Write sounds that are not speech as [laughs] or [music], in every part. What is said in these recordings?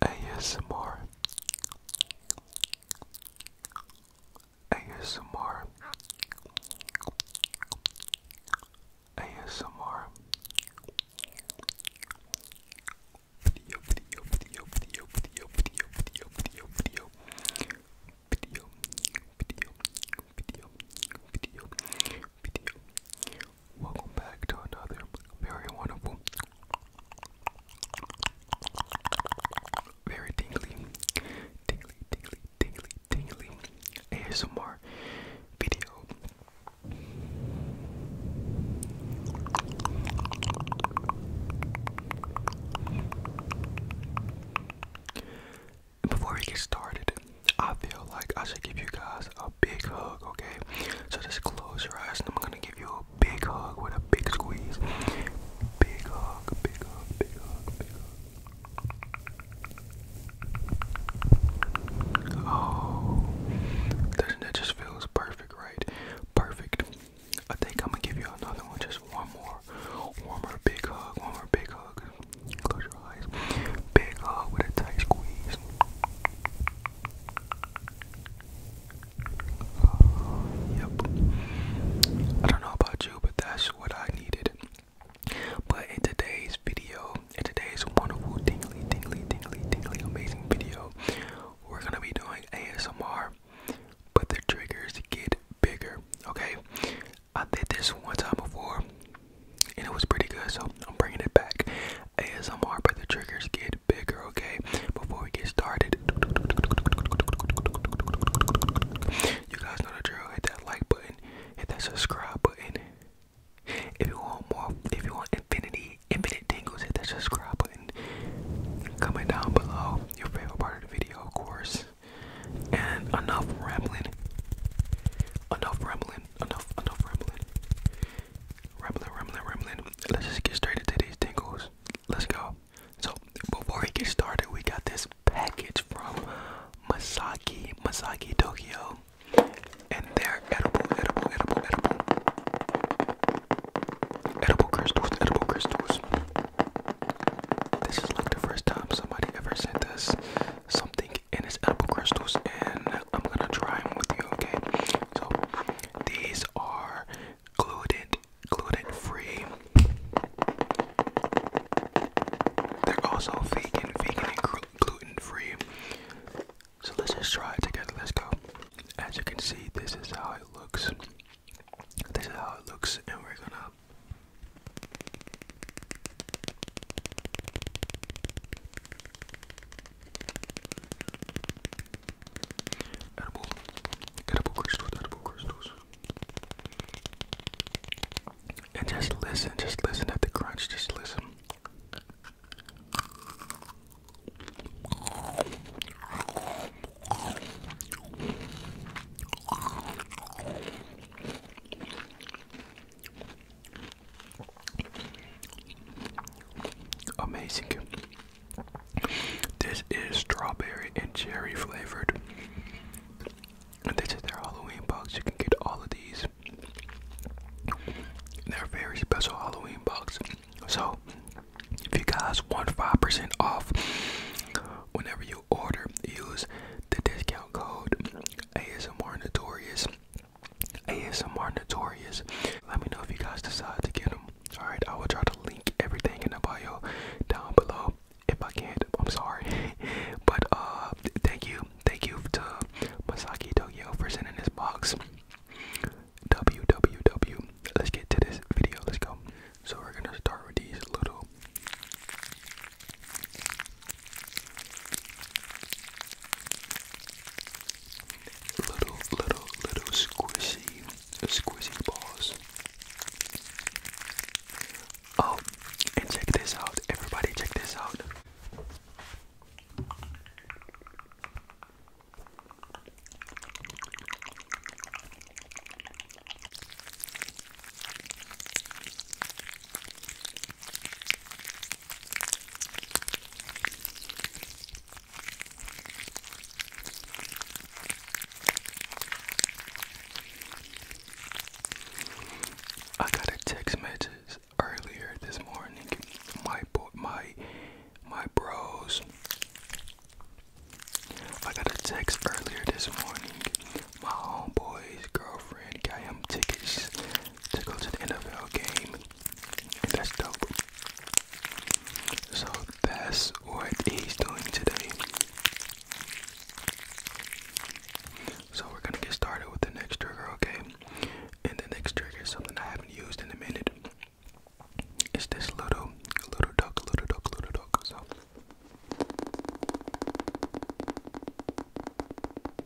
ASMR ASMR ASMR video video video video video video video video video video video video video video video Welcome back to another very wonderful, very tingly, tingly, tingly, tingly, tingly ASMR video. Before we get started, I feel like I should give you guys a big hug, okay? So just close your eyes and I'm gonna give you a big hug with a big squeeze. Big hug, big hug, big hug, Oh, doesn't that just feels perfect, right? Perfect. I think I'm gonna give you another one, just one more. One more big hug, one more big hug. Close your eyes. Big hug with a tight squeeze yep. I don't know about you, but that's what I needed. But in today's video, in today's wonderful, tingly, tingly, tingly, tingly, amazing video, we're gonna be doing ASMR, but the triggers get bigger. Okay, I did this one time before, and it was pretty good, so I'm bringing it back. ASMR, but the triggers get bigger, okay? Before we get started, you guys know the drill. Hit that like button, hit that subscribe button. If you want more, if you want infinity, infinite tingles, hit that subscribe button. Comment down below your favorite part of the video, of course. And enough rambling. Enough rambling. Enough, enough rambling. Rumbling, rumbling, rumbling. Let's just get straight into these tingles. Let's go. So before we get started, we got this package from Masaki, Masaki Tokyo. And they're edible, edible, edible, edible. Edible crystals, edible crystals. This is like the first time somebody ever sent us something and it's edible crystals, and I'm gonna try them with you, okay? So these are gluten, gluten free. They're also vegan, vegan and gluten free. So let's just try it together. Let's go. As you can see, this is how it looks. This is how it looks, and we're gonna crystals, And just listen, just listen at the crunch, just listen. Amazing. This is strawberry and cherry flavored. And this is their Halloween box. You can get all of these. They're very special Halloween box. So if you guys want 5% off whenever you order, use the discount code ASMR Notorious ASMR Notorious. Let me know if you guys decide to get them. Alright, I will try to link everything in the bio down below. If I can't, I'm sorry. [laughs] but uh thank you. Thank you to Masaki Tokyo for sending this box. WWW. Let's get to this video. Let's go. So we're gonna start with these little Little, little, little squishy, squishy balls. Oh, and check this out, everybody, check this out. I got a text message earlier this morning. My my my bros. I got a text earlier this morning. My homeboy's girlfriend got him tickets to go to the NFL game. And that's dope. So that's what he's doing today. So we're gonna get started with the next trigger, okay? And the next trigger is something I haven't used in a minute. It's this little, little duck, little duck, little duck. So.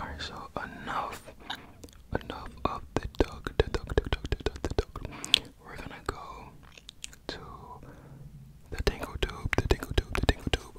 Alright, so enough enough of the duck, the duck, the duck, the duck, the duck. We're gonna go to the tingle tube, the tingle tube, the tingle tube.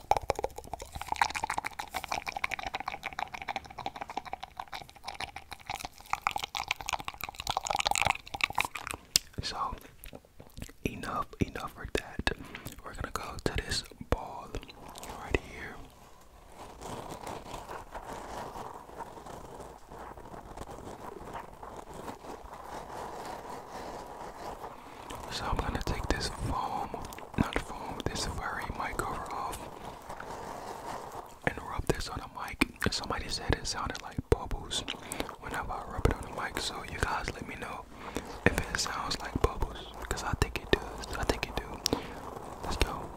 So enough, enough for that. We're gonna go to this ball right here. So I'm gonna take this foam, not foam, this furry mic cover off and rub this on the mic. Somebody said it sounded like bubbles whenever I rub it on the mic. So you guys let me know if it sounds like bubbles. Because I think it does. I think it do. Let's go.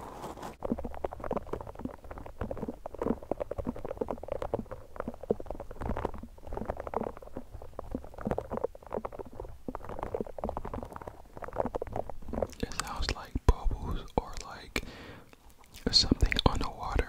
It sounds like bubbles or like something on the water.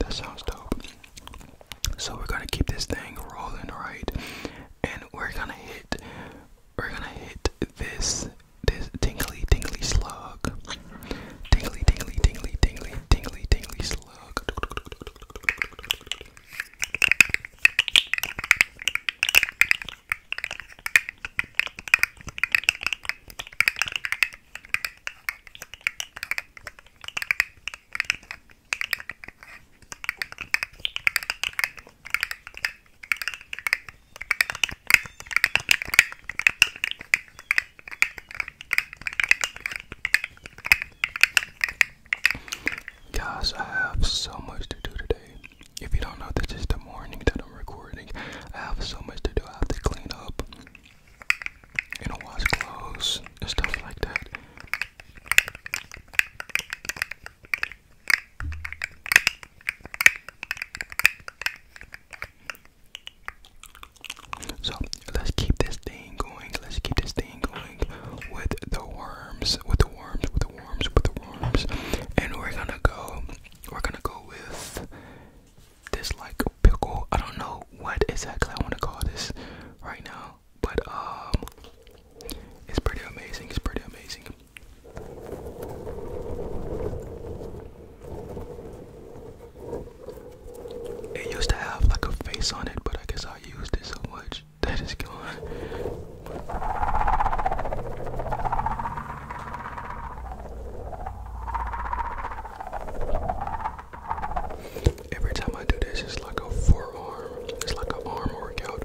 That sounds dope. So we're gonna keep this thing rolling, right? And we're gonna hit, we're gonna hit this, this tingly, tingly slug. Tingly, tingly, tingly, tingly, tingly, tingly slug. Guys, I have so much to do today. If you don't know, this is the morning that I'm recording. I have so much to do. I have to clean up, you know, wash clothes and stuff like that. So let's keep this thing going. Let's keep this thing going with the worms, with the worms, with the worms, with the worms. And we're gonna go, we're gonna go with this like pickle. I don't know what exactly I want to call this right now, but um, it's pretty amazing. It's pretty amazing. It used to have like a face on it, but I guess I used it so much [laughs] that it's gone. Every time I do this, it's like a forearm, it's like an arm workout.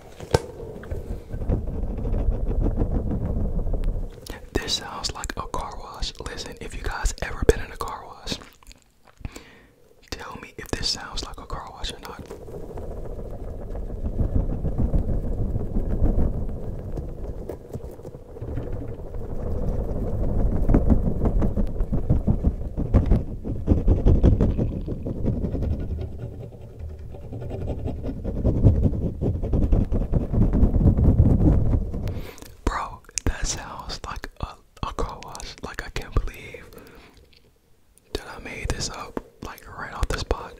This sounds like a car wash. Listen, if you guys ever been in a car wash, tell me if this sounds like a car wash or not. Bro, that sounds like a, a car wash. Like, I can't believe that I made this up, like, right off the spot.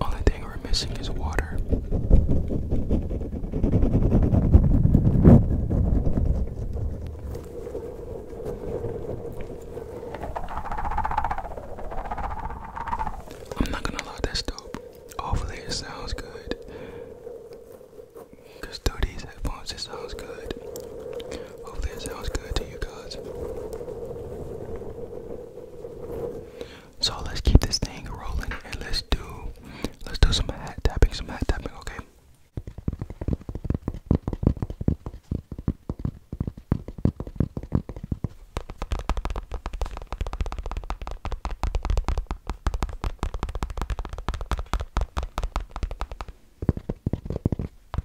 Only thing we're missing is water. I'm not gonna lie, that's dope. Hopefully, it sounds good. Cause through these headphones, it sounds good. Hopefully, it sounds good to you guys. So let's keep this thing rolling and let's do let's do some hat tapping, some hat tapping, okay?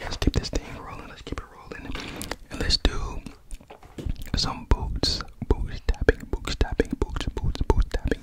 Let's keep this thing rolling. Let's keep it rolling. And let's do some boots. Boots tapping, boots tapping, boots, boots, boots tapping.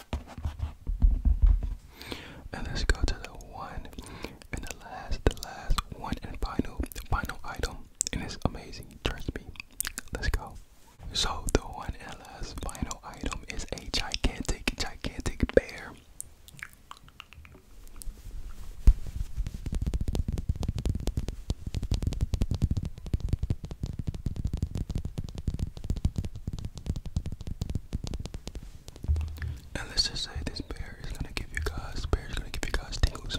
And let's go to the one and the last, the last one and final, final item. And it's amazing, it me. Let's go. So the one and last final item is a gigantic, gigantic bear. And let's just say this bear is gonna give you guys, bear is gonna give you guys tingles.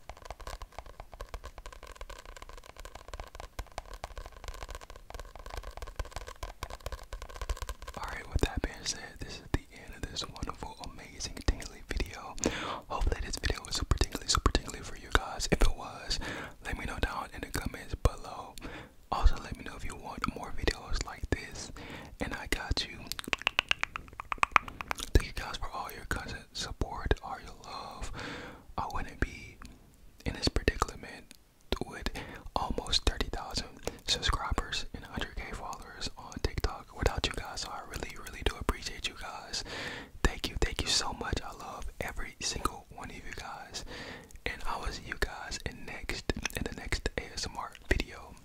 Alright, with that being said, this is the end of this wonderful, amazing, tingly video. Hopefully, this video was super tingly, super tingly for you guys. If it was, let me know down in the comments below. Also, let me know if you want more videos like this. And I got you. Thank you guys for all your constant support, all your love. I wouldn't be in this predicament with almost 30,000 subscribers and 100k followers on TikTok without you guys. I really, really do appreciate you guys. Thank you, thank you so much. I love every single one of you guys. And I will see you guys in next in the next ASMR video.